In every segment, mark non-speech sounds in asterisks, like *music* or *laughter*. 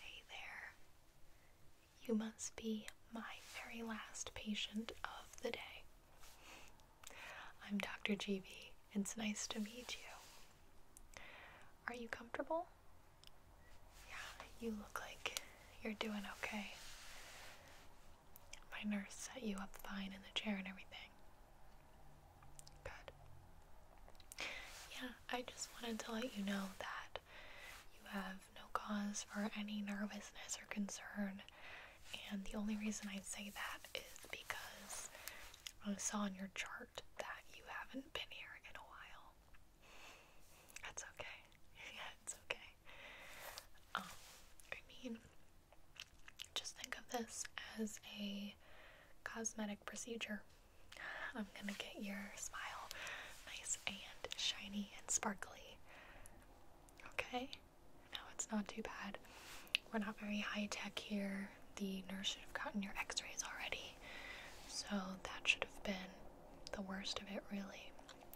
Hey there. You must be my very last patient of the day. I'm Dr. GB. It's nice to meet you. Are you comfortable? Yeah, you look like you're doing okay. My nurse set you up fine in the chair and everything. Yeah, I just wanted to let you know that you have no cause for any nervousness or concern. And the only reason I say that is because I saw on your chart that you haven't been here in a while. That's okay. *laughs* Yeah, it's okay. Um, I mean, just think of this as a cosmetic procedure. I'm gonna get your smile nice and shiny and sparkly. Okay? No, it's not too bad. We're not very high tech here. The nurse should have gotten your x rays already. So that should have been the worst of it, really.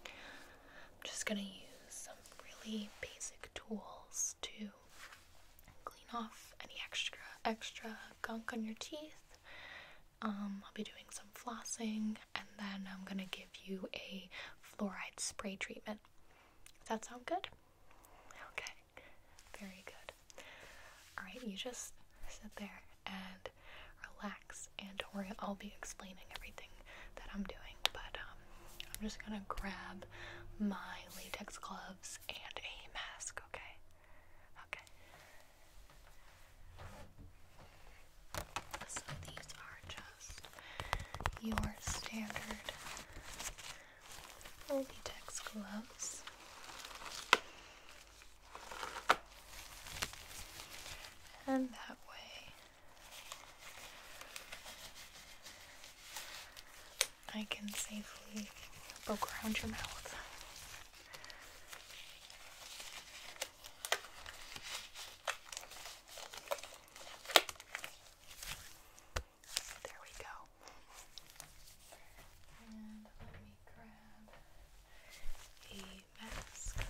I'm just gonna use some really basic tools to clean off any extra extra gunk on your teeth. Um, I'll be doing some flossing, and then I'm gonna give you a fluoride spray treatment. Does that sound good? Okay, very good. All right, you just sit there and relax, and don't worry, I'll be explaining everything that I'm doing. But um, I'm just gonna grab my latex gloves and a mask, okay? Okay. So these are just your standard latex gloves. And that way I can safely poke around your mouth. there we go. And let me grab a mask.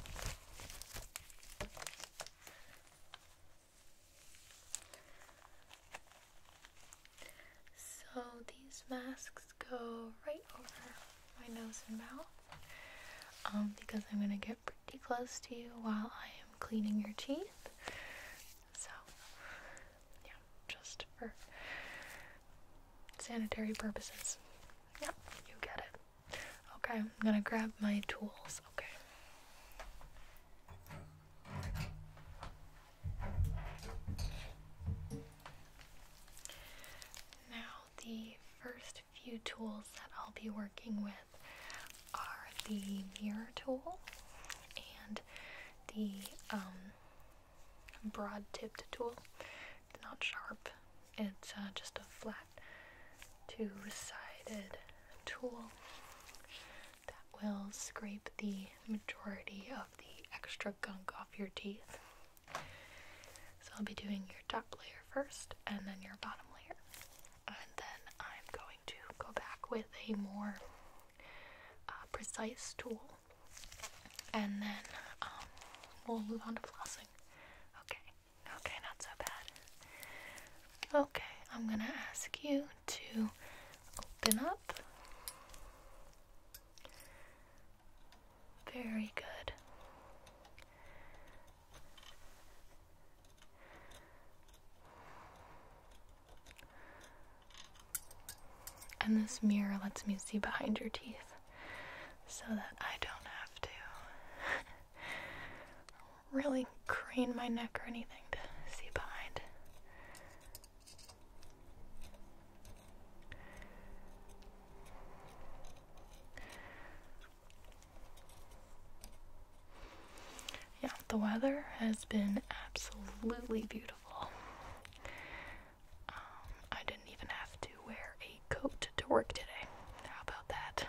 So these masks go right over my nose and mouth um, because I'm going to get pretty close to you while I am cleaning your teeth. So, yeah, just for sanitary purposes. Yep, you get it. Okay, I'm going to grab my tools. Okay. Now, the first few tools that I'll be working with are the mirror tool and the um, broad tipped tool. It's not sharp, it's uh, just a flat two-sided tool that will scrape the majority of the extra gunk off your teeth. So I'll be doing your top layer first and then your bottom layer. And then I'm going to go back with a more uh, precise tool and then um, we'll move on to flossing. Okay, Okay, not so bad. Okay, I'm gonna ask you to open up. Very good. And this mirror lets me see behind your teeth so that I don't have to. *laughs* really crane my neck or anything to see behind. Yeah, the weather has been absolutely beautiful. Um, I didn't even have to wear a coat to work today. How about that?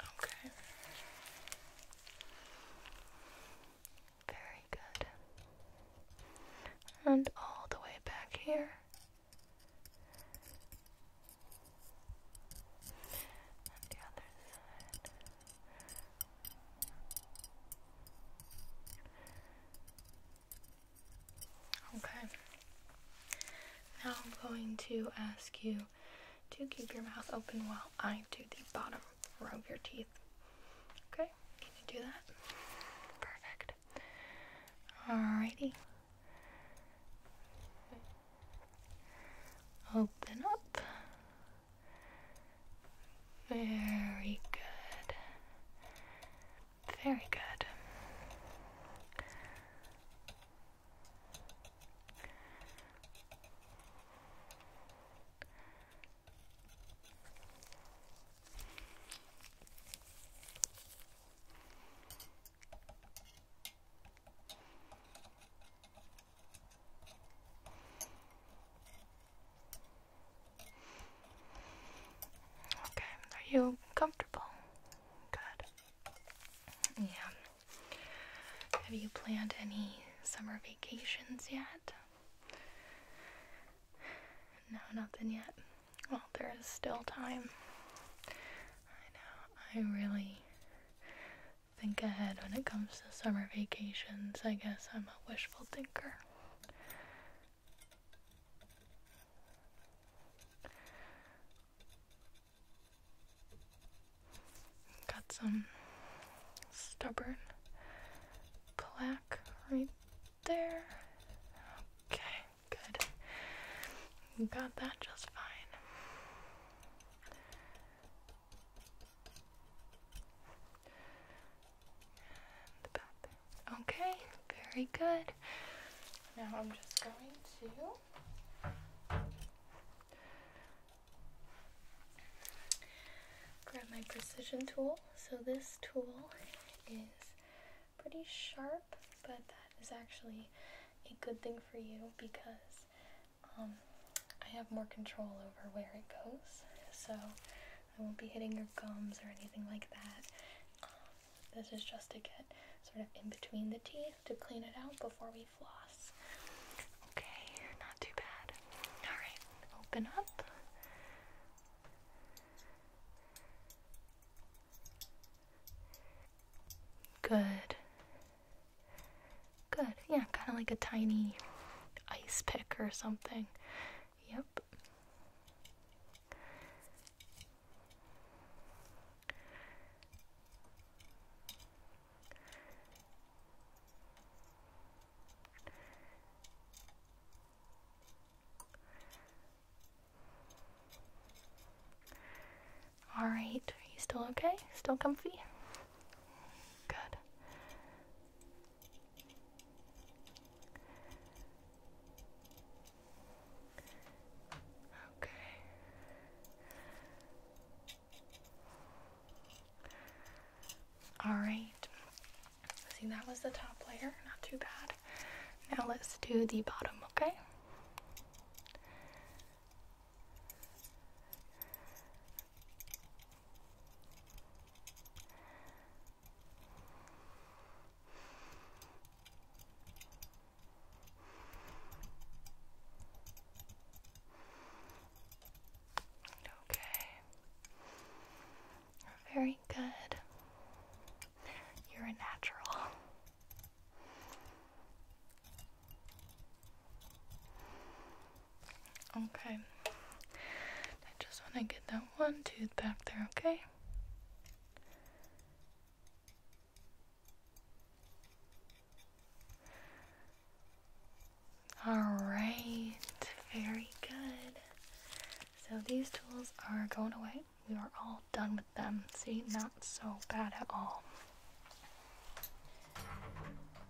Okay. Very good. And all the way back here. the other side. Okay. Now I'm going to ask you do keep your mouth open while I do the bottom row of your teeth. Okay, can you do that? Perfect. Alrighty. Open up. Very good. Very good. Okay, are you comfortable? Good. Yeah. Have you planned any summer vacations yet? No, nothing yet. Well, there is still time. I know. I really think ahead when it comes to summer vacations. I guess I'm a wishful thinker. Got some stubborn black right there. Okay, good. You got that just fine. Okay, very good. Now I'm just going to grab my precision tool. So this tool is pretty sharp, but that is actually a good thing for you because um, I have more control over where it goes. So I won't be hitting your gums or anything like that. Um, this is just to get sort of in between the teeth to clean it out before we floss. Okay, not too bad. Alright, open up. Good. Good. Yeah, kind of like a tiny ice pick or something. Yep. All right, are you still okay? Still comfy? Good. Okay. Alright. See, that was the top layer. Not too bad. Now let's do the bottom, okay? Okay. Very good. You're a natural. Okay. I just want to get that one tooth back there, okay? All right, very good. So these tools are going away. We are all done with them. See, not so bad at all.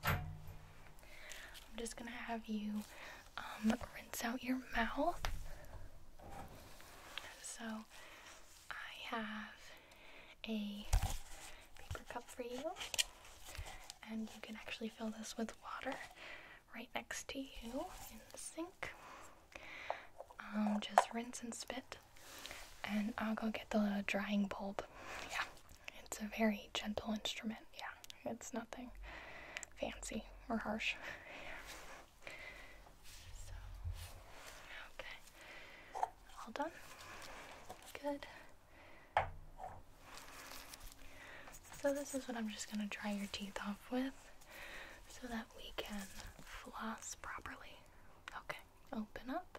I'm just gonna have you um, rinse out your mouth. So I have a paper cup for you, and you can actually fill this with water right next to you in the sink. Um, just rinse and spit, and I'll go get the drying bulb. Yeah, it's a very gentle instrument yeah, it's nothing fancy or harsh. *laughs* okay, all done. Good. So, this is what I'm just going to dry your teeth off with so that we can floss properly. Okay, open up.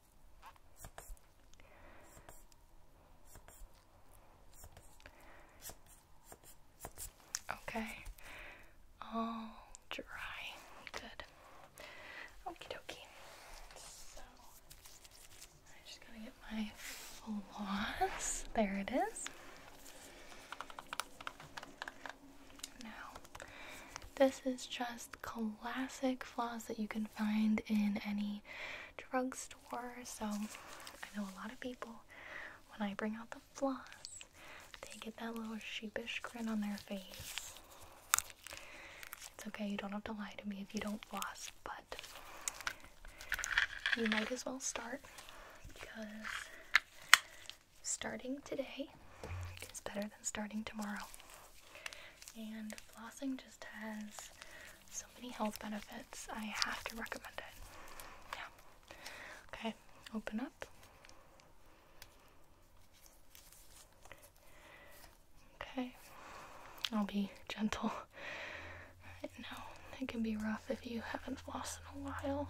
Okay, all dry. Good. Okie dokie. So, I just gotta get my floss. There it is. Now, this is just classic floss that you can find in any drugstore. So I know a lot of people, when I bring out the floss, they get that little sheepish grin on their face. It's okay, you don't have to lie to me if you don't floss, but you might as well start because starting today is better than starting tomorrow. And flossing just has so many health benefits. I have to recommend it. Yeah. Okay, open up. Okay. I'll be gentle. I know it can be rough if you haven't flossed in a while.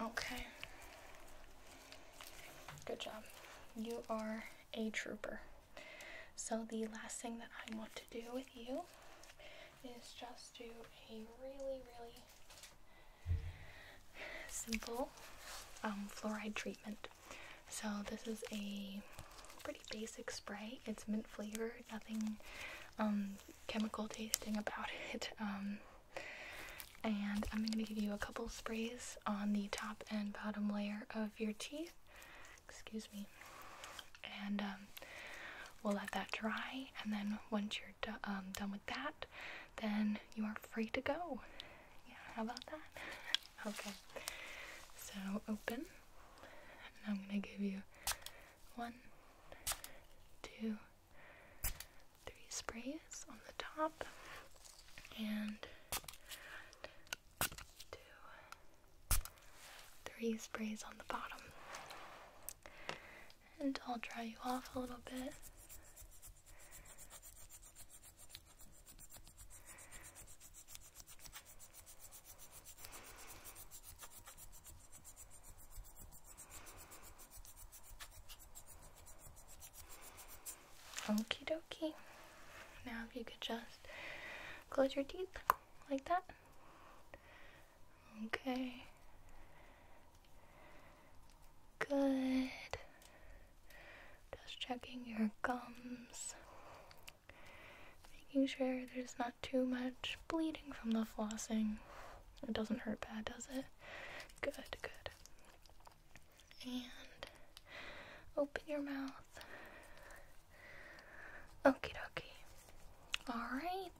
Okay. Good job. You are a trooper. So, the last thing that I want to do with you is just do a really, really simple um, fluoride treatment. So this is a pretty basic spray. It's mint flavored, nothing um, chemical tasting about *laughs* it. Um, and I'm going to give you a couple sprays on the top and bottom layer of your teeth. Excuse me. And we'll let that dry. And then once you're um, done with that, then you are free to go. Yeah, how about that? *laughs* okay, so open, and I'm gonna give you one, two, three sprays on the top, and two, three sprays on the bottom and I'll dry you off a little bit. Okie dokie. Now, if you could just close your teeth like that Okay. Good. Just checking your gums. Making sure there's not too much bleeding from the flossing. It doesn't hurt bad, does it? Good, good. And open your mouth. Okay. dokie. Alright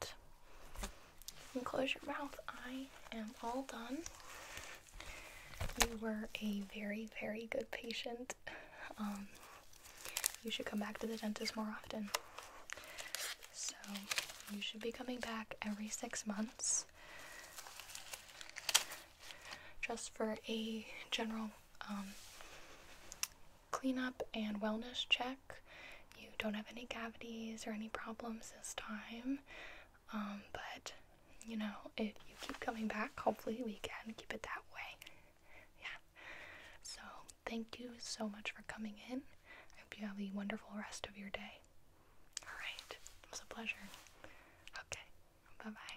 right. close your mouth. I am all done. You were a very, very good patient. Um, you should come back to the dentist more often. So, you should be coming back every six months just for a general um, cleanup and wellness check. You don't have any cavities or any problems this time. Um, but, you know, if you keep coming back, hopefully we can keep it that way. Yeah. So, thank you so much for coming in. I hope you have a wonderful rest of your day. Alright, it was a pleasure. Okay, bye bye.